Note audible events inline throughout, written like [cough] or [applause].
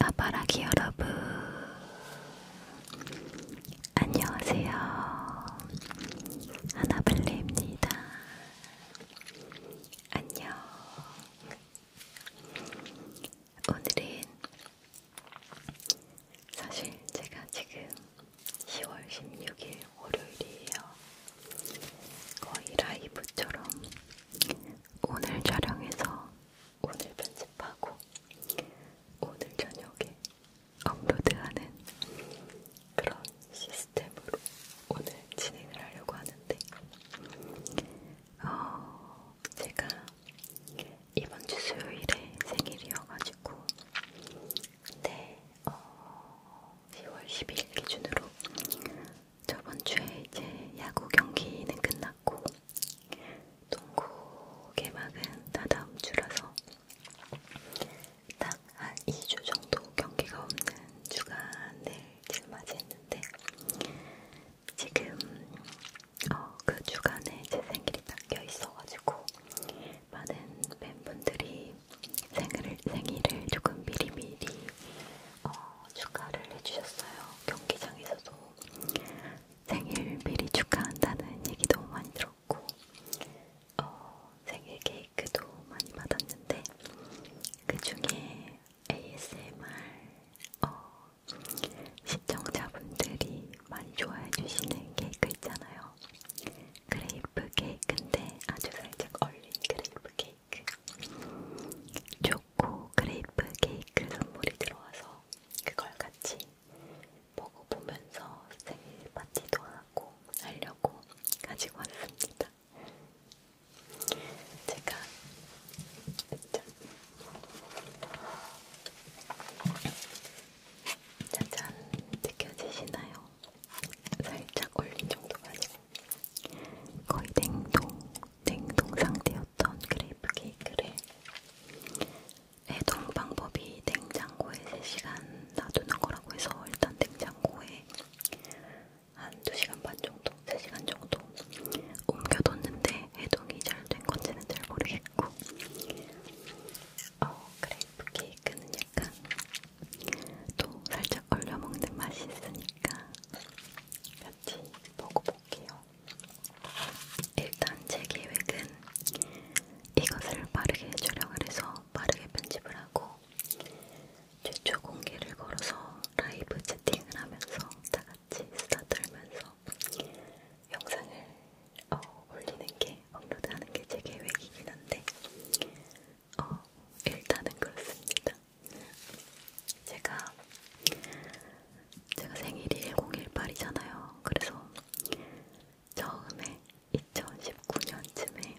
아바라기 여러분, 안녕하세요. 하나블레입니다. 안녕. 오늘은 사실 제가 지금 10월 16일 월요일이에요. 거의 라이브처럼 오늘 촬영해서 오늘 편집하고 오늘 저녁에 업로드하는 그런 시스템으로 오늘 진행을 하려고 하는데 어, 제가 이번 주 수요일에 생일이어가지고 근데 네, 어, 10월 12일 기준으로 저번 주에 이제 야구 경기는 끝났고 동구 개막은 다다음 주라서 딱 한 2주 정도 경기가 없는 주간을 지금 맞이했는데 지금 어, 그 주간에 제 생일이 닦여 있어가지고 많은 팬분들이 생일을, 생일을 조금 미리미리 어, 축하를 해주셨어요. 경기장에서도 생일 미리 축하한다는 얘기도 많이 들었고, 어, 생일 케이크도 많이 받았는데, 그 중에 ASMR 어, 시청자분들이 많이 좋아해주시는 케이크 있잖아요. 그레이프 케이크인데 아주 살짝 얼린 그레이프 케이크. 케이크 초코 그레이프 케이크 선물이 들어와서 그걸 같이 먹어보면서 생일 파티도 하고 하려고 가지고 왔습니다. 제가 짜잔 느껴지시나요? 살짝 올린 정도 가지고 거의 냉동, 냉동 상태였던 그레이프 케이크를 해동 방법이 냉장고에 3시간 놔두는 거라고 해서 일단 냉장고에 한 2시간 반 정도, 3시간 정도 옮겨뒀는데 해동이 잘 된 건지는 잘 모르겠고 어, 그레이프 케이크는 약간 또 살짝 얼려 먹는 맛이 있으니까 같이 먹어볼게요. 일단 제 계획은 이것을 빠르게 촬영을 해서 빠르게 편집을 하고 최초 공개를 걸어서 라이브 채팅을 하면서 다 같이 수다 떨면서 영상을 어, 올리는 게 업로드하는 게 제 계획이긴 한데 어, 일단은 그렇습니다. 제가 제가 생일이 1018이잖아요. 그래서 처음에 2019년쯤에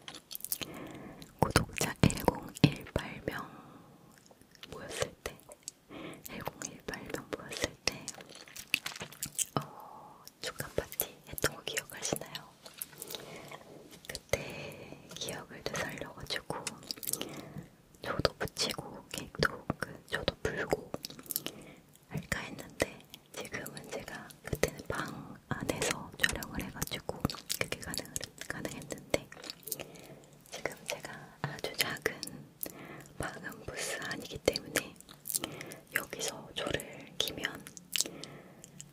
구독자 1018명 모였을 때 1018명 모였을 때 어, 축하 파티 했던 거 기억하시나요? 그때 기억을 되살려가지고 저도 붙이고 케이크도 그 저도 불고 할까 했는데 지금은 제가 그때는 방 안에서 촬영을 해가지고 그게 가능, 가능했는데 지금 제가 아주 작은 방음 부스 아니기 때문에 여기서 조를 키면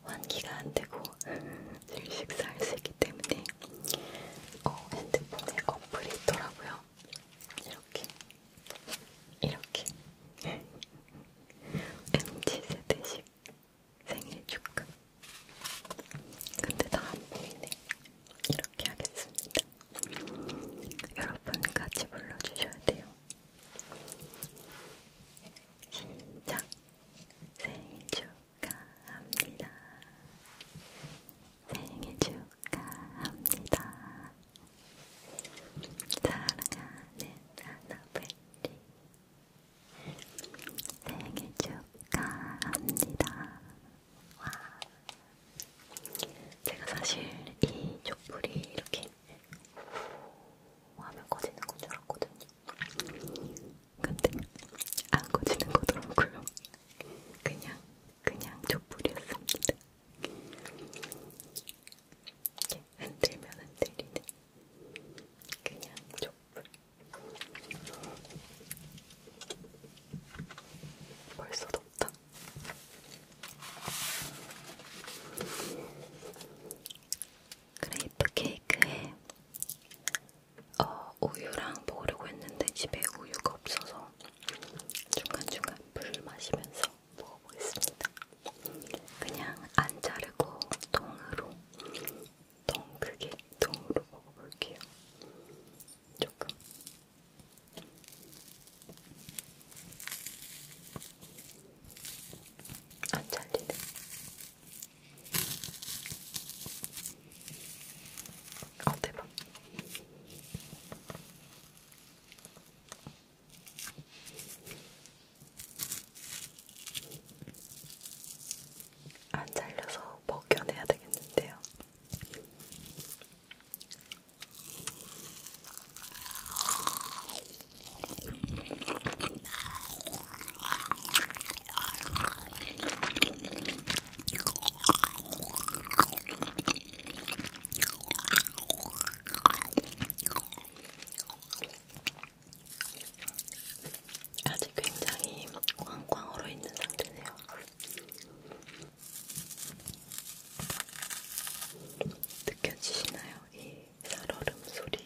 환기가 안 되고 일식사할 수 있기 때문에 어, 핸드폰에 어플이 있더라고요. 이렇게 이렇게 MZ 세대식 생일 축하. 근데 다안 보이네. 이렇게 하겠습니다. 여러분 같이 불러주셔야 돼요. 시작! 생일 축하! 축하합니다. 생일 축하합니다. 사랑하는 아나벨리 생일 축하합니다. 와. 제가 사실 이 촛불이 이렇게 화면 꺼지는 건 줄 알았거든요. 근데 안 꺼지는 거더라고요. 그냥 그냥 촛불이었습니다. 이렇게 흔들면 흔들리는 그냥 촛불. 벌써 덥다. 그레이프 케이크에 어, 우유랑 먹으려고 했는데 집에 우유가 없어서 중간중간 물을 마시면서 먹어보겠습니다. 그냥 안 자르고 통으로, 통 크게 통으로 먹어볼게요. 조금. 안 잘리네. 아 대박. 안 잘려서 벗겨내야 되겠는데요. 아직 굉장히 꽝꽝 얼어 있는 상태네요. 느껴지시나요? 이 살얼음 소리.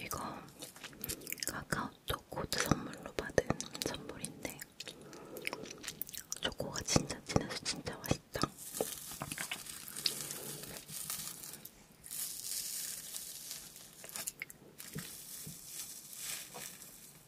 이거 카카오톡 코드 선물로 받은 선물인데 초코가 진짜 진해서 진짜 맛있다.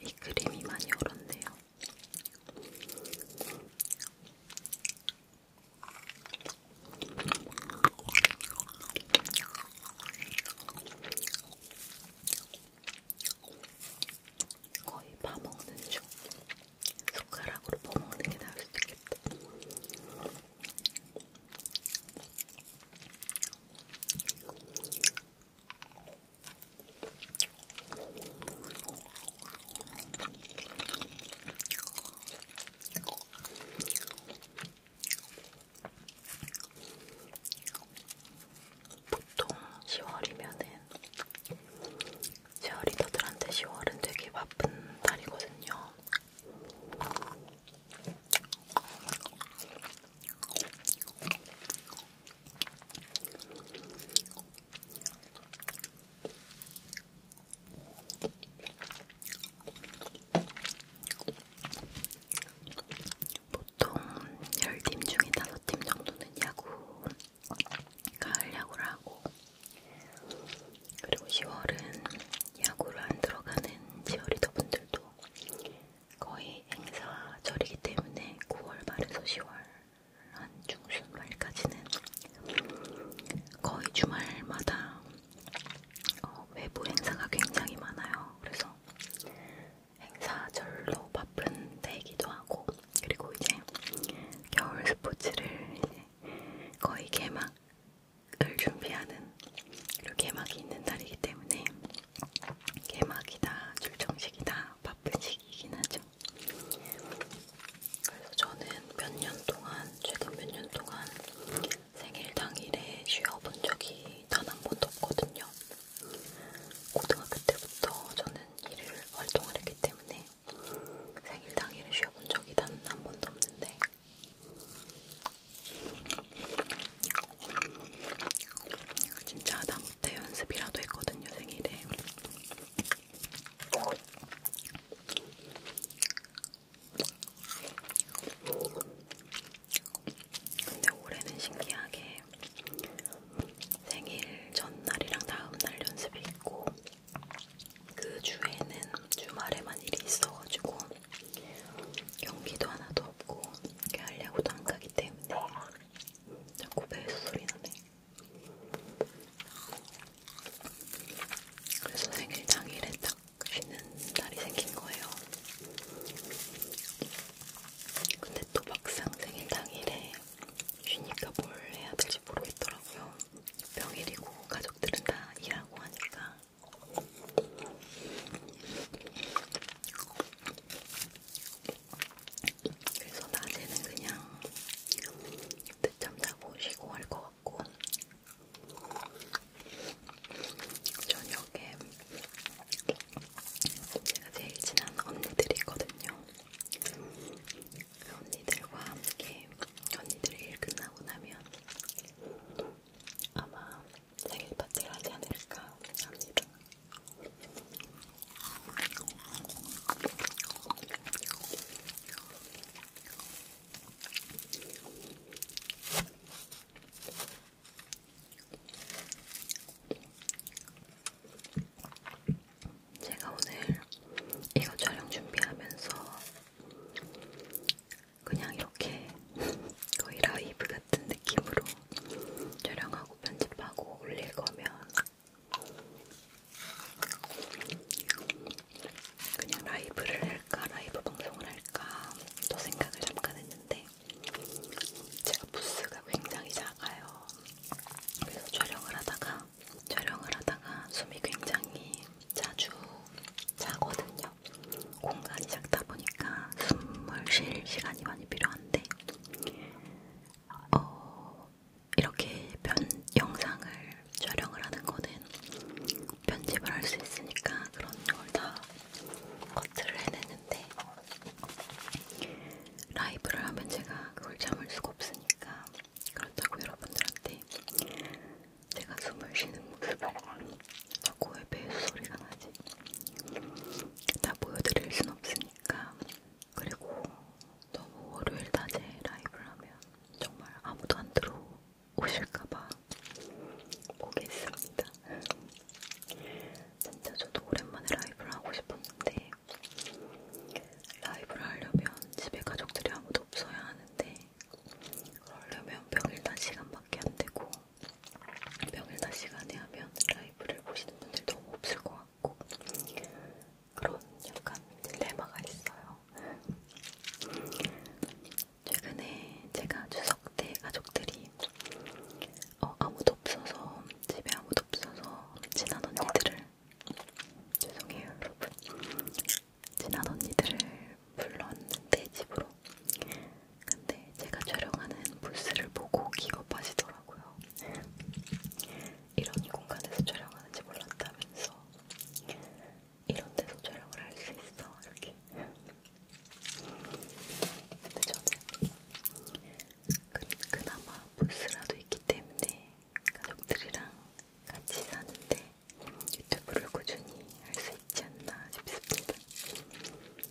이 크림이 많이 얼었네요. 거의 밥 먹는 중. 숟가락으로 퍼먹는 게 나을 수도 있겠다. 보통 10월이면은 10월이더들한테 10월은 되게 바쁜 달이거든요. 보통 10팀 중에 5팀 정도는 야구, 가을 야구를 하고, 그리고 10월은 야구를 안 들어가는 지어리더 분들도 거의 행사절이기 때문에 9월 말에서 10월 한 중순 말까지는 거의 주말마다 어, 외부 행사가 굉장히 많아요. 그래서 행사절로 바쁜 때이기도 하고 그리고 이제 겨울 스포츠를 이제 거의 개막을 준비하는 그리고 개막이 있는 날이기 때문에 개막이다, 출정식이다, 바쁜 시기이긴 하죠. 그래서 저는 몇 년 동안, 최근 몇 년 동안 생일 당일에 쉬어본 적이 단 한 번도 없거든요. 고등학교 때부터 저는 일을 활동을 했기 때문에 생일 당일에 쉬어본 적이 단 한 번도 없는데 진짜 하다 못해 연습이라도 했거든요 생일에. 근데 올해는 신기하게 생일 전날이랑 다음날 연습이 있고 그 주에는 주말에만 일이 있어가지고 연기도 하나도 없고 이렇게 하려고도 안 가기 때문에 자꾸 배에서 소리 나네. 그래서 생일 당일에 딱 쉬는 날이 생긴 거예요. 근데 또 막상 생일 당일에 쉬니까 뭘 해야 될지 모르겠더라고요. 평일이고 가족들은 다 일하고 하니까 그래서 낮에는 그냥 늦잠 자고 쉬고 할것 같고 저녁에 제가 제일 친한 언니들이 있거든요. 그 언니들과 함께 언니들이 일 끝나고 나면 아마 생일 파티를 하지 않을까 합니다. 제가 오늘 이거 촬영 준비하면서 그냥 이렇게 [laughs] 거의 라이브 같은 느낌으로 촬영하고 편집하고 올릴 거면 그냥 라이브를 할까, 라이브 방송을 할까 또 생각을 잠깐 했는데 제가 부스가 굉장히 작아요. 그래서 촬영을 하다가 촬영을 하다가 숨이 굉장히 자주 자거든요. 같아요. 공간이 작다 보니까 숨을 쉴 시간이 많이 필요한데, 어, 이렇게 편, 영상을 촬영을 하는 거는 편집을 할 수 있으니까 그런 걸다 커트를 해내는데, 라이브를 하면 제가 그걸 참을 수가 없으니까, 그렇다고 여러분들한테 제가 숨을 쉬는 모습을 자꾸 왜 배수 소리가 나지? 다 보여드릴 순 없으니까. 그리고 너무 월요일 낮에 라이브를 하면 정말 아무도 안 들어오실까봐 보겠습니다. 진짜 저도 오랜만에 라이브를 하고 싶었는데 라이브를 하려면 집에 가족들이 아무도 없어야 하는데 그러려면 평일 낮 시간밖에 안 되고 평일나 시간에 하면 라이브를 보시는 분들 너무 없을 것 같고 그런 약간 딜레마가 있어요. 최근에 제가 추석 때 가족들이 어, 아무도 없어서 집에 아무도 없어서 친한 언니들을 죄송해요 여러분 친한 언니들을 불렀는데 집으로. 근데 제가 촬영하는 부스를 보고 기겁하시더라고요. 이런 공간에서 촬영하는지 몰랐다면서 이런 데서 촬영을 할 수 있어 이렇게. 근데 저는 그, 그나마 부스라도 있기 때문에 가족들이랑 같이 사는데 유튜브를 꾸준히 할 수 있지 않나 싶습니다.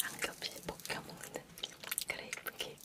한 겹씩 볶아 먹는 그레이프 케이크.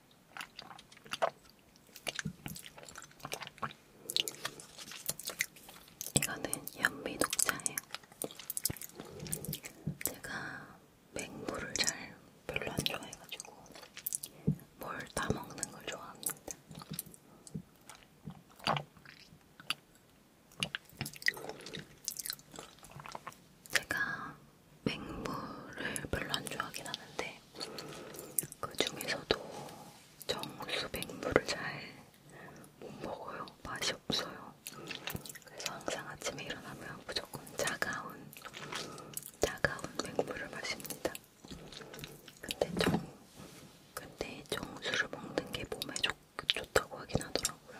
이거는 연미 녹차예요. 제가 맹물을 잘 별로 안 좋아해가지고 뭘 따먹는 걸 좋아합니다. 제가 맹물을 별로 안 좋아하긴 하는데 있는데 그 중에서도 정수 백물을 잘 못 먹어요. 맛이 없어요. 그래서 항상 아침에 일어나면 무조건 차가운 차가운 백물을 마십니다. 근데 정 근데 정수를 먹는 게 몸에 좋, 좋다고 하긴 하더라고요.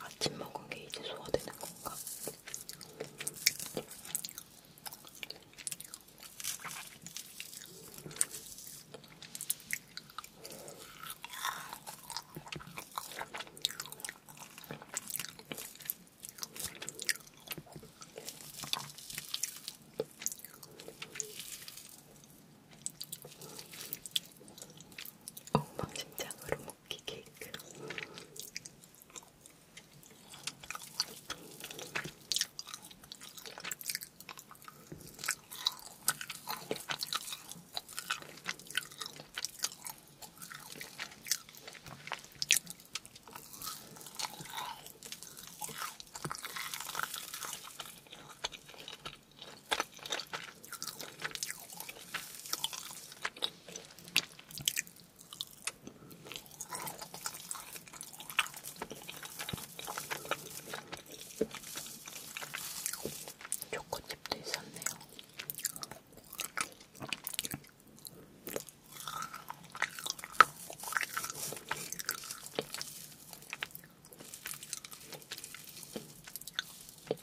아침 먹은 게 이제 소화되는 건가? 엉망진창으로 떡볶이 케이크. 초코칩도 있었네요.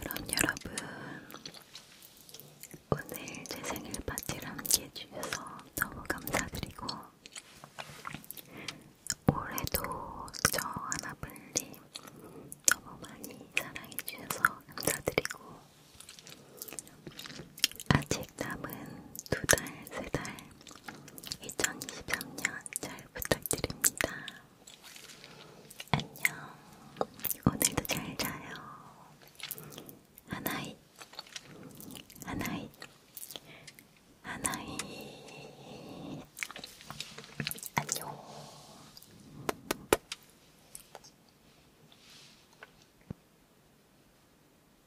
그럼 여러분 오늘 제 생일 파티를 함께 해주셔서 너무 감사드리고 올해도 저 하나블리 너무 많이 사랑해주셔서 감사드리고 아직 남은 두 달, 세 달, 2023년 잘 부탁드립니다. 안녕. 오늘도 잘 자요. 하나이, 하나이, 하나이. 안녕.